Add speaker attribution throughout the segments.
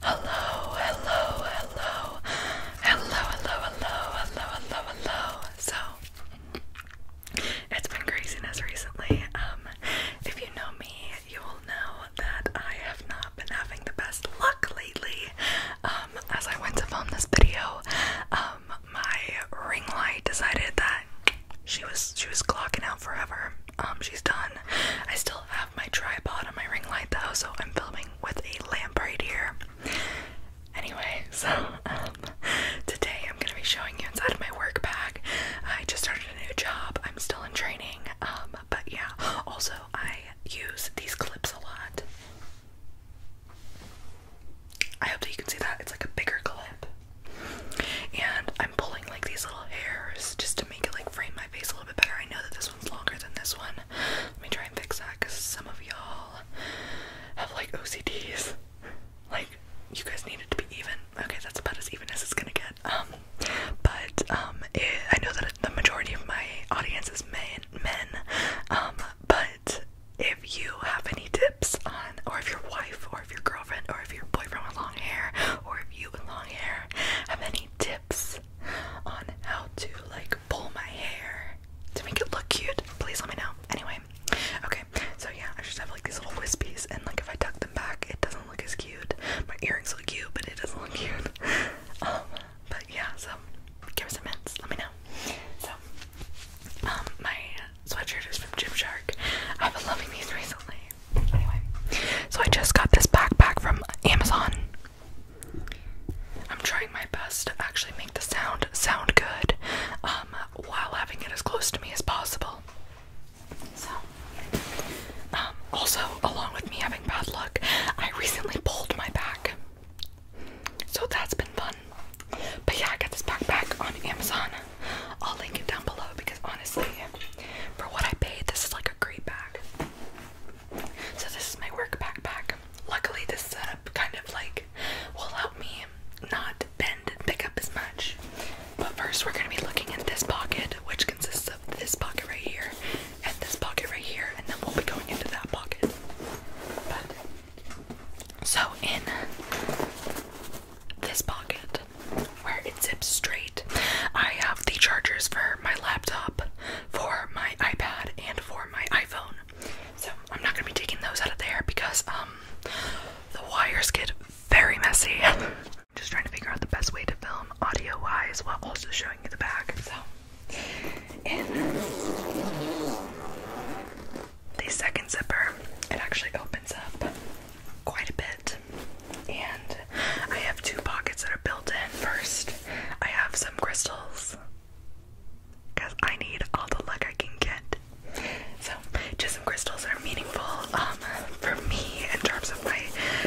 Speaker 1: Hello, hello, hello, hello, hello, hello, hello, hello, hello. So, it's been craziness recently. Um, if you know me, you will know that I have not been having the best luck lately. Um, as I went to film this video, um, my ring light decided that she was she was clocking out forever. Um, she's done. I still have my tripod and my ring light though, so I'm filming with a lamp right here. Anyway, so um, today I'm gonna be showing you inside of my work bag. I just started a new job. I'm still in training, um, but yeah. Also, I use these clips a lot. I hope that you can see that it's like a bigger clip, and I'm. I'm pulling like these little hairs just to make it like frame my face a little bit better. I know that this one's longer than this one. Let me try and fix that because some of y'all have like OCDs. Like you guys need it to be even. Okay, that's about as even as it's gonna get. Um, but um, eh, I know that the majority of my audience is men. Men. Um, but if you have any tips on, or if your wife, or if your girlfriend, or if your boyfriend with long hair, or if you have long hair have any tips on how to like pull my hair to make it look cute, please let me know. Anyway, okay, so yeah, I just have like these little wispies, and like if I tuck them back, it doesn't look as cute. My earrings look cute, but it doesn't look cute. Um, but yeah, so give me some hints, let me know. So, um, my sweatshirt is from Gymshark. I've been loving these recently so I just got this backpack from Amazon. I'm trying my best to actually make the sound sound good um, while having it as close to me as possible. So, um, also, along with me having bad luck, I recently pulled my back. So that's been fun. But yeah, I got this backpack on Amazon. I'll link it down below because honestly, for what I paid, this is like a great bag. So this is my work backpack. Luckily, this setup kind of like will help me not bend and pick up as much. But first, we're gonna be looking in this pocket, which consists of this pocket right here and this pocket right here, and then we'll be going into that pocket. so in this pocket, where it zips straight. I have the chargers for my laptop, for my iPad, and for my iPhone. So I'm not gonna be taking those out of there because um the wires get very messy. Just trying to figure out the best way to film audio wise while also showing you the bag. So in the second zipper, it actually opens up quite a bit. And I have two pockets that are built in. First, I have some crystals because I need all the luck I can get. So, just some crystals that are meaningful um, for me in terms of my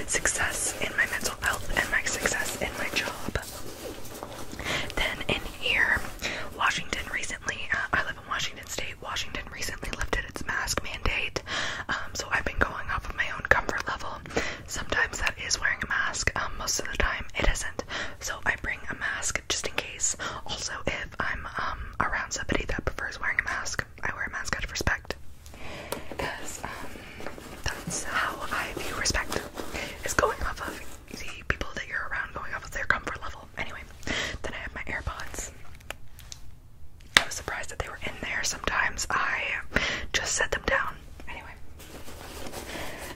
Speaker 1: success in my mental health and my success in my job. Then, in here, Washington recently, uh, I live in Washington State, Washington recently lifted its mask mandate. Um, so I've been going off of my own comfort level. Sometimes that is wearing a mask, um, most of the time it isn't. So I bring a mask just in case. Also, if I'm um, around somebody that prefers wearing a mask, I wear a mask out of respect. Because that's how I view respect, is going off of the people that you're around, going off of their comfort level. Anyway, then I have my AirPods. I was surprised that they were in there. Sometimes I just set them down. Anyway,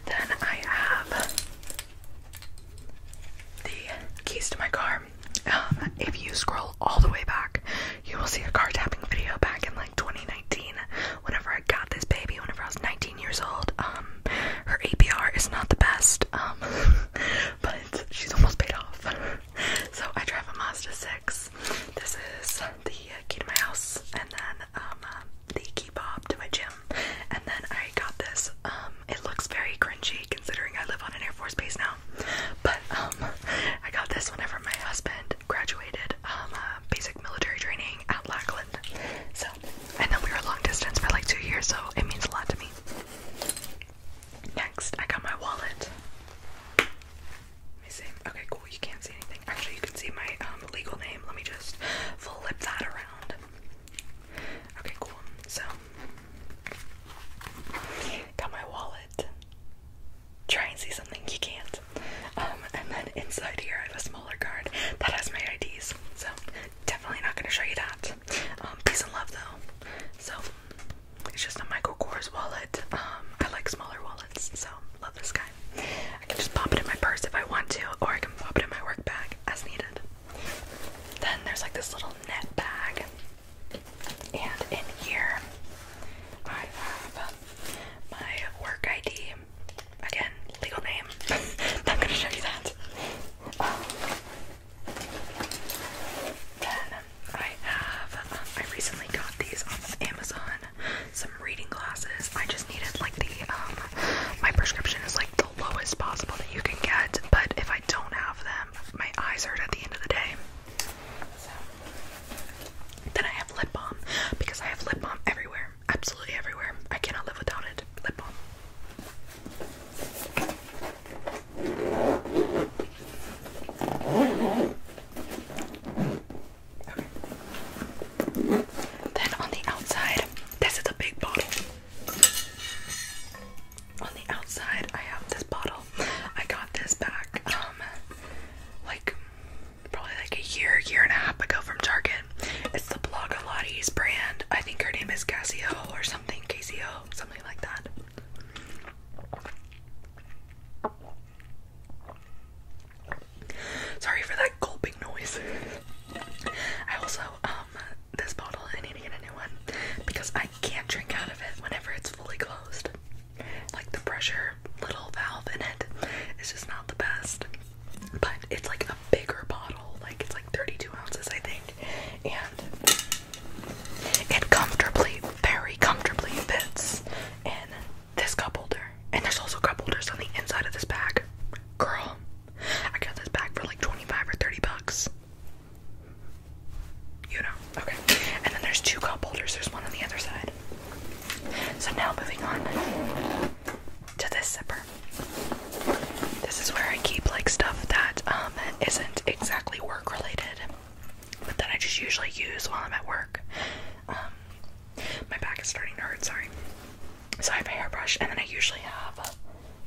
Speaker 1: then I have the keys to my car. Um, if you scroll all the way back, you will see a car tapping video back in like 2019. Whenever I got this baby, whenever I was 19 years old, um, her APR is not the best, um, but she's almost paid off. so I drive a Mazda 6. This is the key to my house, and then um, um, the key bob to my gym. And then I got this. Um, it looks very cringy considering I live on an Air Force base now. But I got this whenever my husband graduated uh, basic military training at Lackland. So I know we were long distance for like two years, so it means a lot to me. Next, I got my wallet. Let me see. Okay, cool. You can't see anything. Actually, you can see my um, legal name. Let me just flip that around. Okay, cool. So, got my wallet. Try and see something you can't. Um, and then inside here, I have a smaller card that has my IDs. So, definitely not going to show you that. Um, peace and love, though. So, it's just a Michael Kors wallet. Um, I like smaller wallets, so love this guy. I can just pop it in my purse if I want to, or I can pop it in my work bag as needed. Then there's like this little net bag, and in here I have my work ID. Again, legal name. I'm gonna show you that. Um, then I have, um, I recently got these off Amazon, some reading glasses. I just needed like the, um, my prescription is like the lowest possible that you can get, but if I don't have them, my eyes hurt at the end of the day. then I have lip balm because I have lip balm everywhere, absolutely everywhere. I cannot live without it. Lip balm. Then on the outside, this is a big bottle. On the outside, I have this bottle. I got this back, um, like probably like a year, year and a half ago from Target. It's the Blogalotti's brand. I think her name is Casio or something, Casio, something like that. Sorry for that gulping noise. I also um this bottle I need to get a new one because I can't drink out of it whenever it's fully closed. Like the pressure little valve in it is just not the best. But it's like a bigger bottle, like it's like 32 ounces I think. And it comfortably, very comfortably fits in this cup holder. And there's also cup holders on the inside of this bag. Girl, I got this bag for like 25 or 30 bucks. You know, okay. And then there's two cup holders, there's one on the other side. So now moving on to this zipper. This is where I keep like stuff that um isn't exactly work related, but that I just usually use while I'm at work. Um, my back is starting to hurt. Sorry. So I have a hairbrush, and then I usually have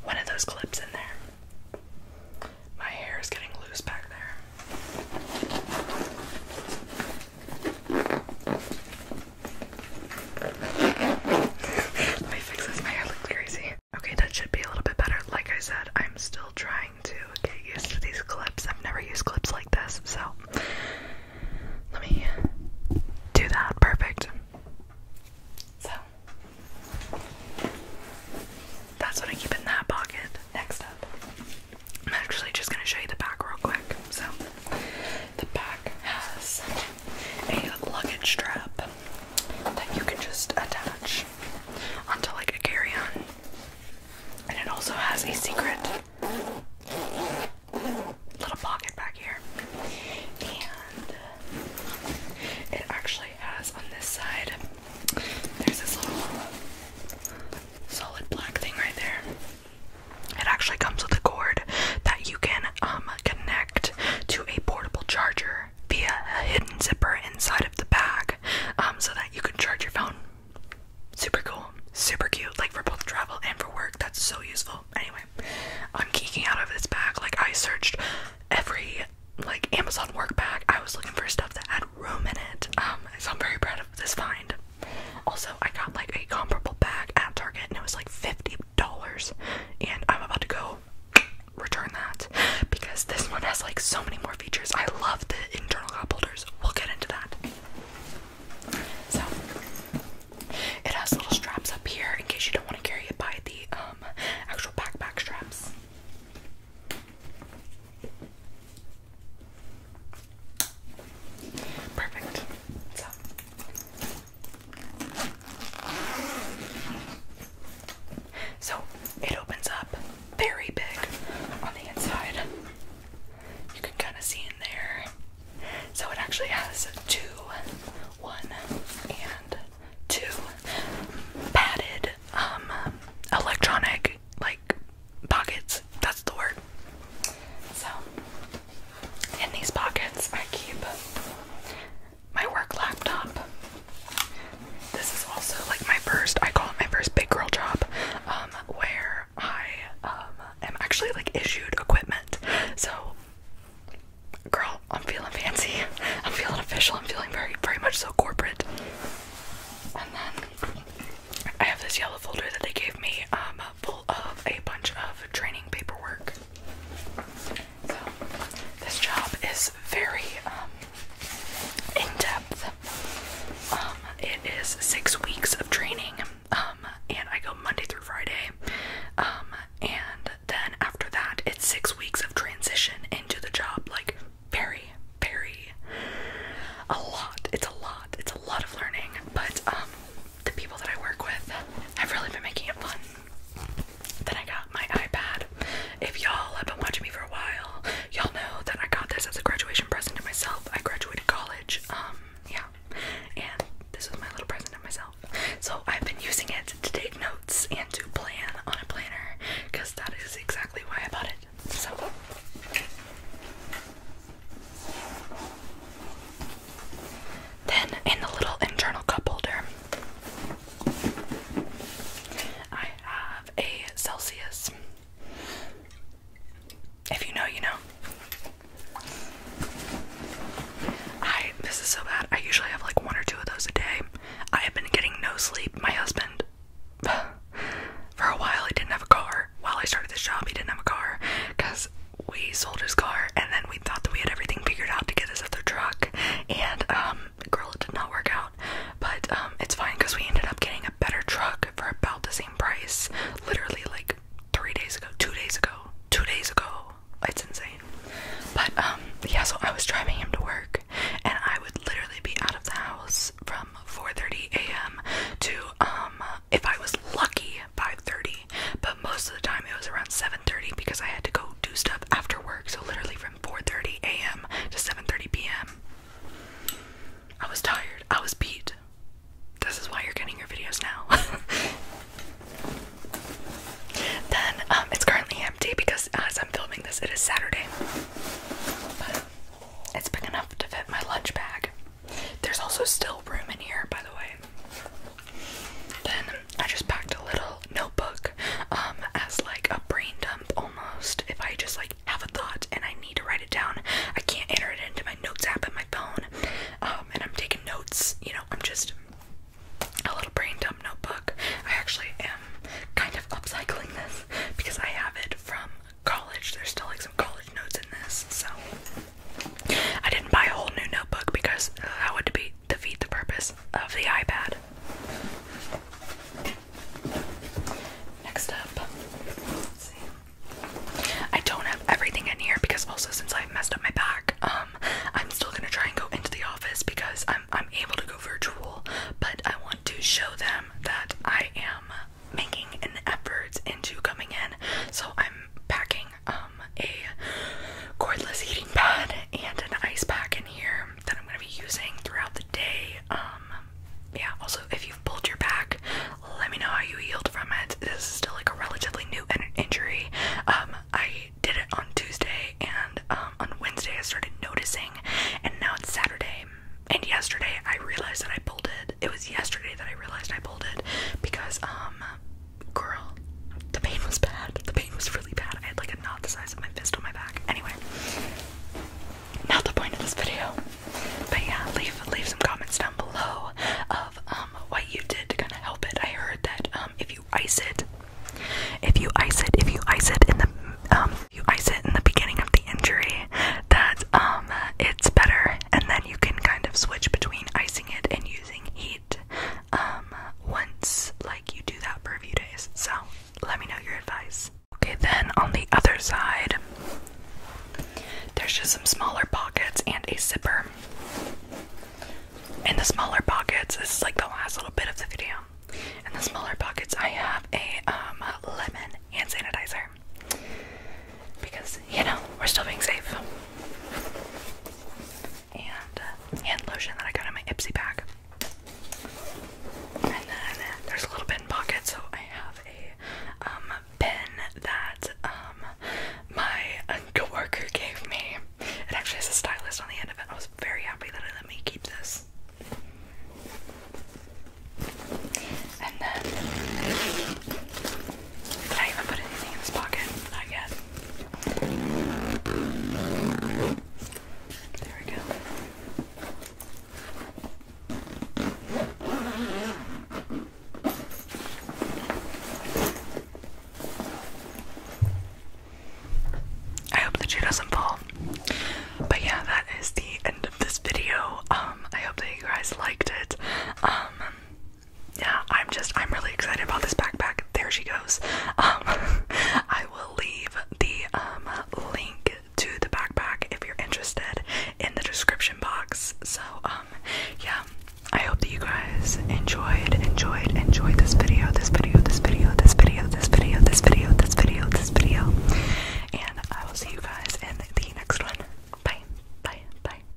Speaker 1: one of those clips in there. My hair is getting loose back there. Let me fix this. My hair looks crazy. Okay, that should be a little bit better. Like I said, I'm still trying to get used to these clips. I've never used clips like this, so let me do that. Perfect. So that's what I keep in that pocket. Next up, I'm actually just going to show you the back real quick. So the back has a luggage strap that you can just attach pouch onto like carry-on. And it also has a secret little pocket back here. And it actually has on this side there's this little solid black thing right there. It actually comes with a cord that you can um connect to a portable charger via a hidden zipper inside of the bag um, so that you can charge your phone. Super cool, super cute, like for both travel and for work. That's so useful. Anyway, I'm geeking out of this bag. Like, I searched every like Amazon work bag. I was looking for stuff that had room in it. Um, so I'm very proud of this find. Also, I got like a comparable bag at Target and it was like 50 dollars and I'm about to go return that because this one has like so many more features. I love the internal cup holders. We'll get into that. So it has little straps up here in case you don't want to carry it by the um, actual backpack straps. Perfect. So so it opens up very big on the inside. You can kind of see in there. So it actually has two, one and two padded um electronic like pockets. That's the word. So in these pockets I keep my work laptop. This is also like my first, I call it my first big girl job, um, where I um, am actually like issued equipment. So, girl, I'm feeling fancy. I'm feeling official. I'm feeling very, very much so corporate. And then I have this yellow folder that they gave me um, full of a bunch of training paperwork. So this job is very um, in depth. Um, it is six weeks of training, um, and I go Monday through Friday. and then after that, it's six weeks of transition into the job. Like very, very a lot. It's a lot. It's a lot of learning. But the people that I work with have really been making it fun. Then I got my iPad. If y'all have been watching me for a while, y'all know that I got this as a graduation present to myself. I graduated college. Um, yeah. And this was my little present to myself. So I've been using it to take notes and to plan on a planner because that is exactly why I bought it. So then in the little internal cup holder, I have a Celsius. If you know, you know. I this is so bad. I usually have like one or two of those a day. I have been getting no sleep. My husband for a while he didn't have a car. While I started this job, he didn't have a car because we sold his car and then we we thought that we had everything figured out to get this other truck, and um, girl, it did not work out. But um, it's fine because we ended up getting a better truck for about the same price, literally like three days ago, two days ago, two days ago. It's insane. But um, yeah, so I was driving him to work, and I would literally be out of the house from 4:30 a.m. to if I was lucky, 5:30. But most of the time, it was around 7 7:30 because I had to go do stuff after work. So literally from 4:30 a.m. to 7:30 p.m. I was tired. I was beat. This is why you're getting your videos now. then um, it's currently empty because as I'm filming this, it is Saturday. But it's big enough to fit my lunch bag. There's also still room in here, by the way. Then I just packed a little notebook um, as like a brain dump almost. If I just like have a thought and I need to write it down, I can't enter it into my notes app in my phone. Um, and I'm taking notes, you know, I'm just a little brain dump notebook. I actually am kind of upcycling this because I have it from college. There's still like some college notes in this, so I didn't buy a whole new notebook because that uh, would be defeat the purpose of the iPad. Next up, I don't have everything in here because also since i messed up my back, um, I'm still gonna try and go into the office because I'm I'm able to go virtual, but I want to show them that I am making an effort into coming in. So I'm packing um, a cordless heating pad and an ice pack in here that I'm going to be using throughout the day. Um, yeah, also, if you've pulled your back, let me know how you healed from it. This is still like a relatively new injury. Um, I did it on Tuesday, and um, on Wednesday I started noticing, and now it's Saturday. And yesterday I realized that I pulled it. It was yesterday that I realized I pulled it because um girl, the pain was bad. The pain was really bad. I had like a knot the size of my fist on my back. Anyway, not the point of this video. But yeah, leave leave some comments down below of um what you did to kind of help it. I heard that um if you ice it, if you ice it, if you ice it in the um you ice it in the beginning of the injury, that um it's better, and then you can kind of switch between icing it and using heat um, once like you do that for a few days. So let me know your advice. Okay, then on the other side, there's just some smaller pockets and a zipper. In the smaller pockets, this is like the last little bit of the video. In the smaller pockets, I have a um, lemon hand sanitizer because you know we're still being safe and uh, hand lotion that I got in my Ipsy bag. And then there's a little bin pocket, so I have a um, pen that um, my coworker gave me. It actually has a stylist on the end of it. I was very happy that it let me keep this. And then did I even put anything in this pocket? Not yet. There we go. I hope the shoe doesn't fall. But yeah, that is the end of this video. Um, I hope that you guys liked it. Um, yeah, I'm just I'm really excited about this backpack. There she goes. Um, I will leave the um link to the backpack if you're interested in the description box. So um yeah, I hope that you guys enjoyed, enjoyed, enjoyed this video, this video, this video, this video, this video, this video, this video, this video. And I will see you guys in the next one. Bye, bye, bye.